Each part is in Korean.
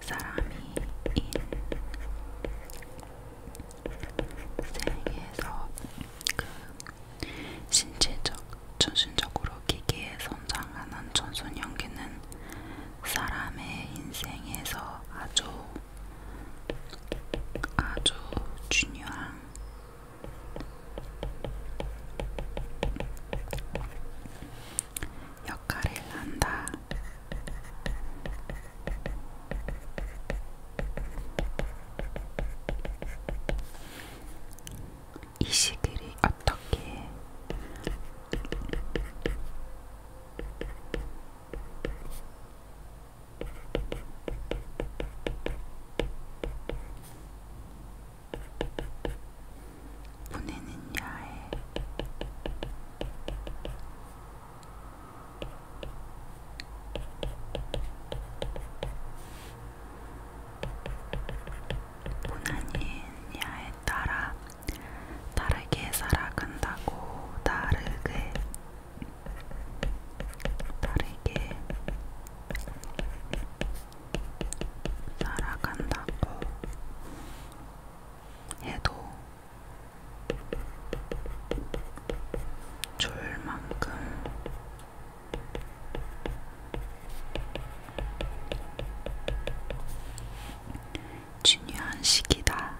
사람이 인생에서 그 신체적, 정신적으로 기기에 손상하는 전순형기는 사람의 인생에서 아주 아주 중요한 역할을 한다. 이 시기를 어떻게 보내느냐에 보나니아에 따라 다르게 살아간다고 다르게 다르게 살아간다고 해도 줄만큼 중요한 시기다.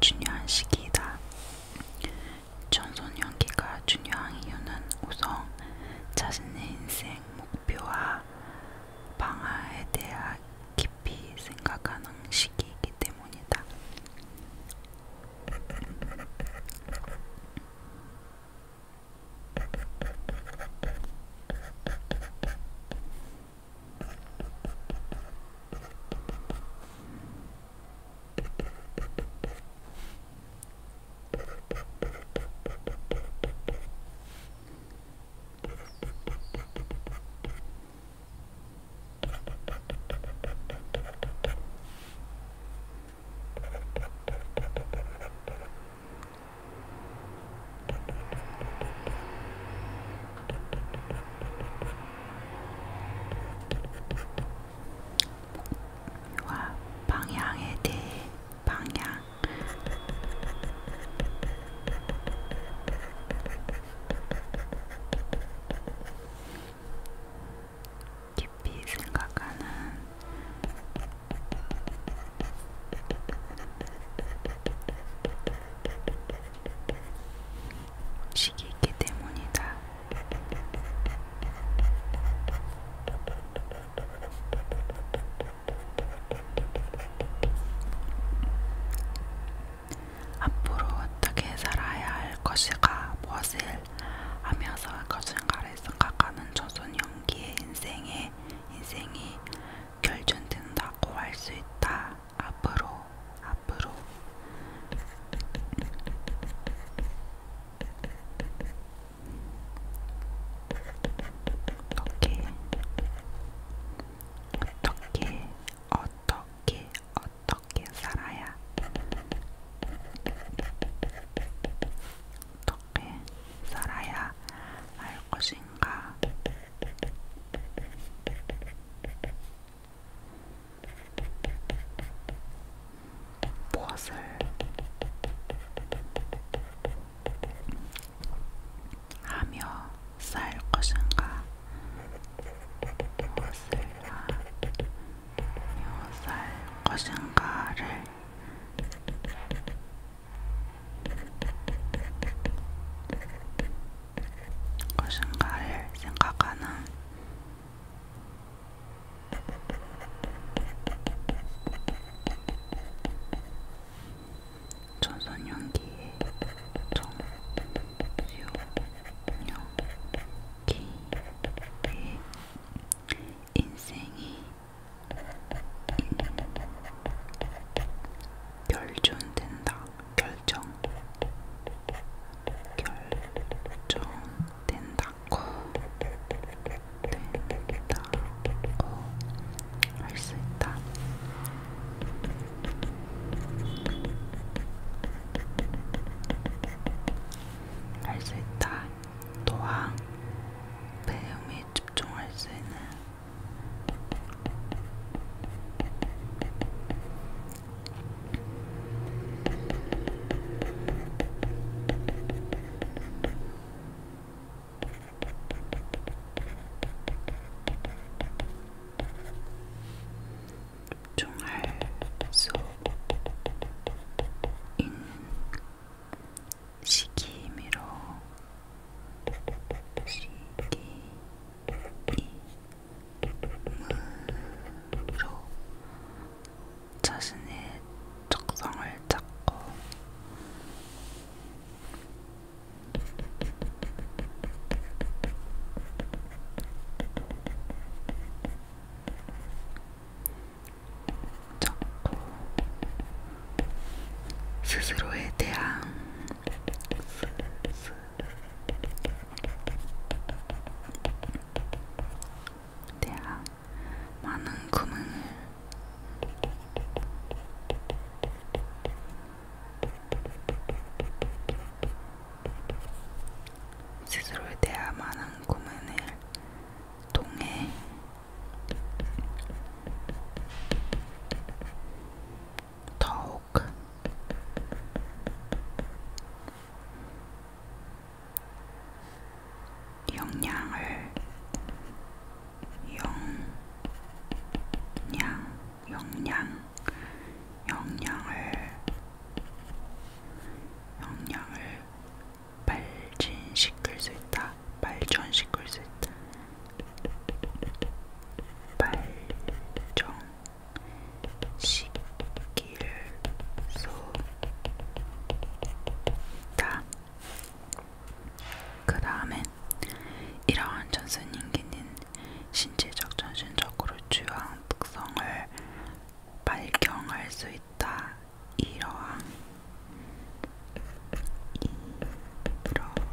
중요한 시기이다. 청소년기가 중요한 이유는 우선 자신의 인생 목표와 방아에 대하 깊이 생각하는 시기이기 때문이다. 와 방향에 대해 방향 깊이 생각하는 시기이기 때문이다. 앞으로 어떻게 살아야 할 것이가 무엇을 하면서 거짓말을 생각하는 조선 연기의 인생에 인생이 결정된다고 할 수 있다. 앞으로 앞으로 어떻게 어떻게 어떻게 어떻게 살아야 어떻게 살아야 할 것인가? 무엇을 하며 쌓을 것인가 무엇을 하며 쌓을 것인가를 것인가를 생각하는 조선연기의 정수연기의 인생이 결정된다 결정 결정된다고 된다. 어, 할수 있다. 할 수 있다. 또한 배움에 집중할 수 있는 종할 수 있는 시기미로 시기미로 자신의 적성을 찾고 자꾸 스스로에 대한 대한 많은 고민을 스스로에 대야만 한 고문을 통해 더욱 영양을 영양 영양 영양을 영양을 발진시킬 수 있다. 발전시킬 수 있다. 발전시킬 수 있다. 그 다음에 이러한 전순인기는 신체적 전신적으로 주요한 특성을 발견할 수 있다. 이러한 이러한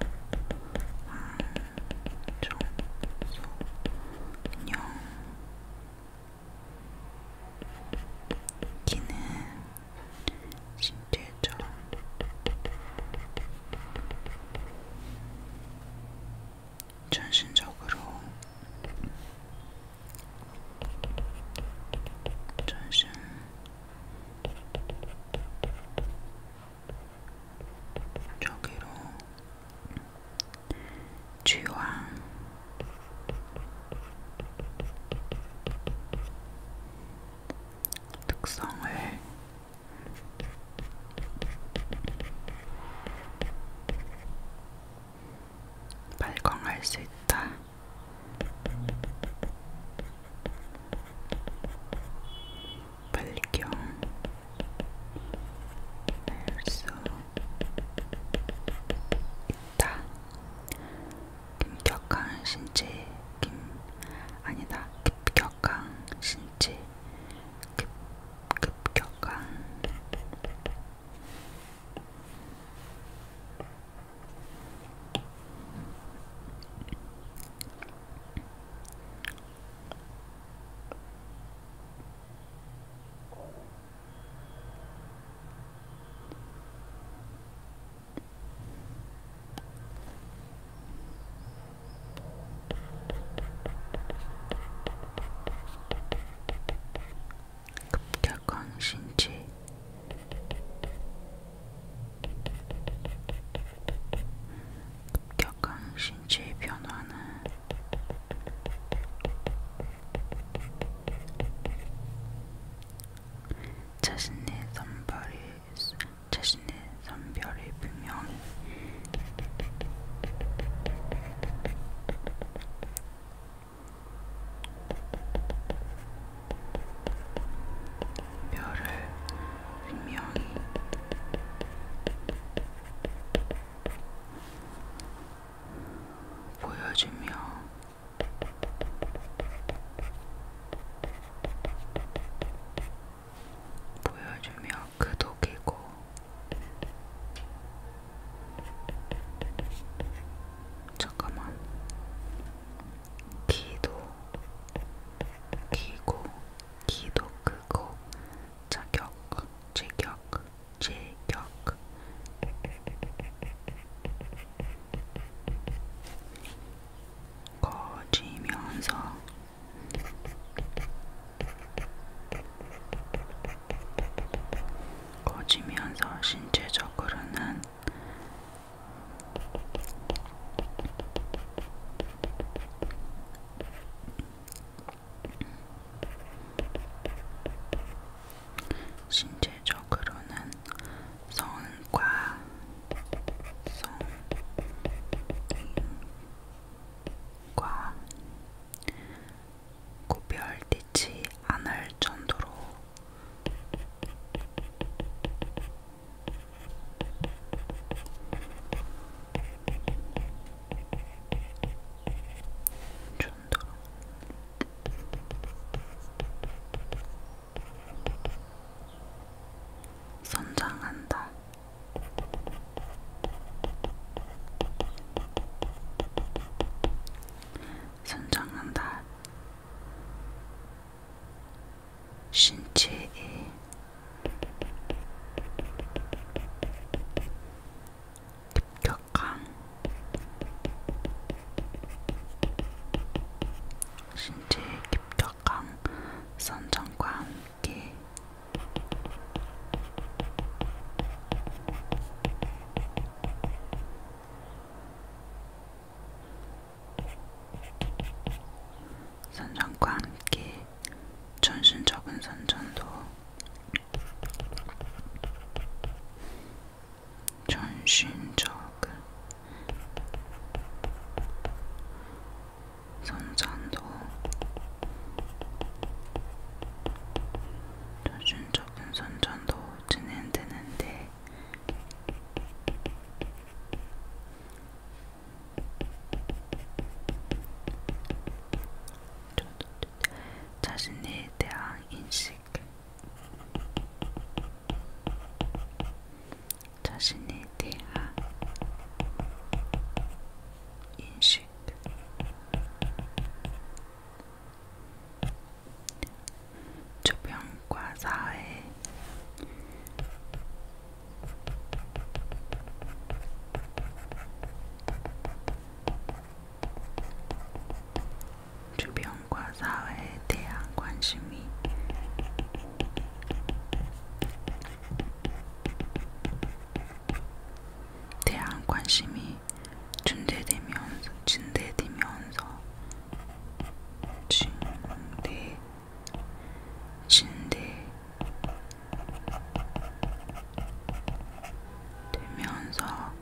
종소년 기는 신기했죠. 전신적으로 전신 저기로 쥐와 특성을 발광할 수 있다. 발경 할수 있다. 김격항 신지 김 아니다 급격항 신지 급 급격항 급격한 신체 급격한 신체 변화는 자신의 선발이 자신의 선별을 분명히 별을 분명히 보여주며 보여주며 그 독이고 잠깐만 기도 기고 기도 크고 자격 제격 제격 거지면서 거지면서 신체적으로는 신체적 기억으로는 성과 성과 구별되지 않을 정도로 정도로 선장한다. 선장한다. 신체에 급격한 신체의 깊격한 선정과 함께 선전과 함께 전신적인 선전도 전신적 선전도 전신적인 선전도 진행되는데 자신에 대한 인식 자신에 대한 인식 주변과 사회 주변과 사회에 대한 관심이 대한 관심이 증대되면서 증대되면서 증대 증대 되면서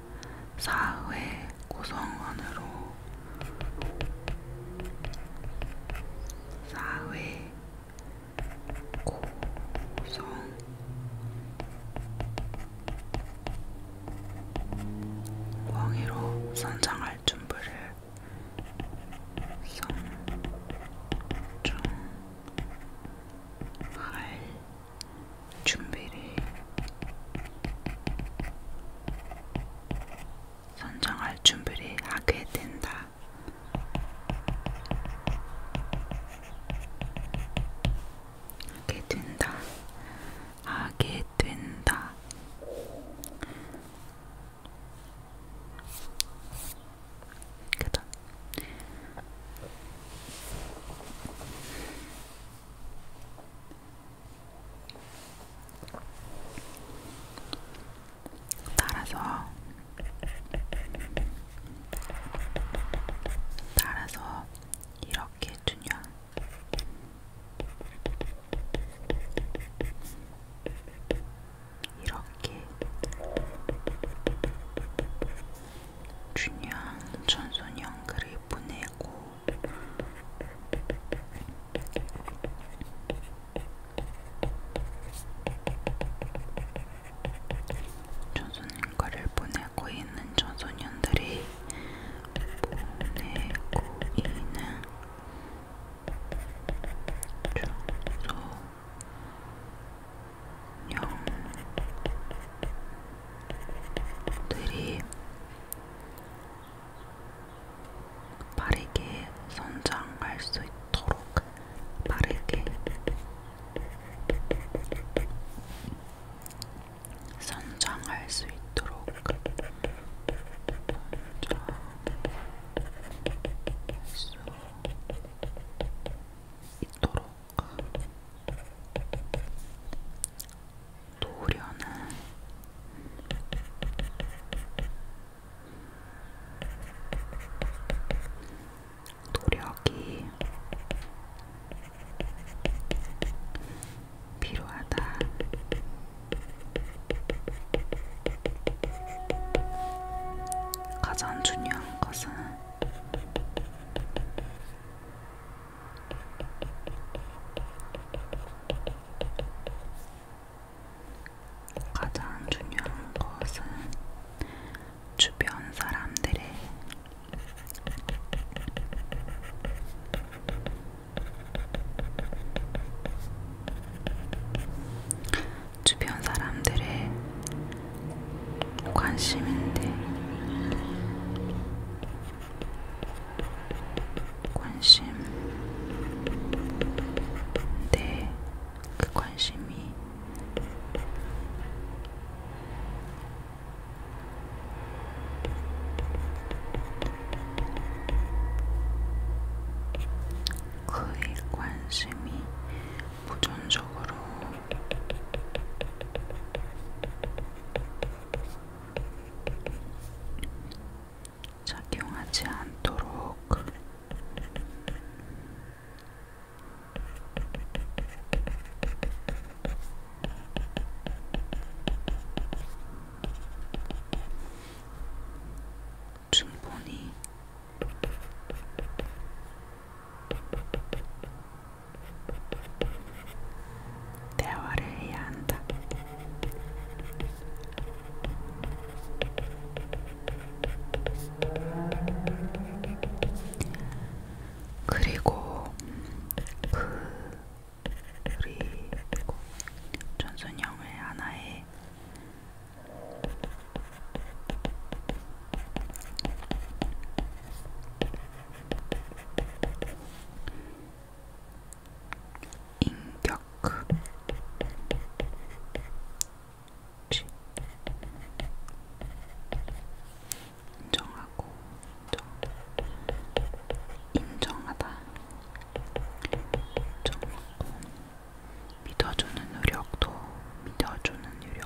사회 고성 안으로 사회 고성 왕위로 선장할 준비를 성장할 준비를 선정할 준비를 하게 된다. 하게 된다. 하게 된다. 그다. 따라서 따라서 이렇게 주냐 이렇게 준양 전소년 그를 보내고 조선인과를 보내고 있는 조소년들이 보내고 있는 조소년들이 빠르게 성장할 수 있도록 빠르게 성장할 수 있도록 성장할 수 있도록 노련한 노력이 필요하다. 가장 중요한 것은 가장 중요한 것은 주변 사람들의 주변 사람들의 관심인데 관심. 네, 그 관심이 그의 관심이 부정적으로 작용하지 않도록 충분히 대화를 해야 한다. 그리고 그 그리고 전순영을 하나의 인격 인정하고 인정 인정하다 인정하고 믿어주는 노력도 믿어주는 노력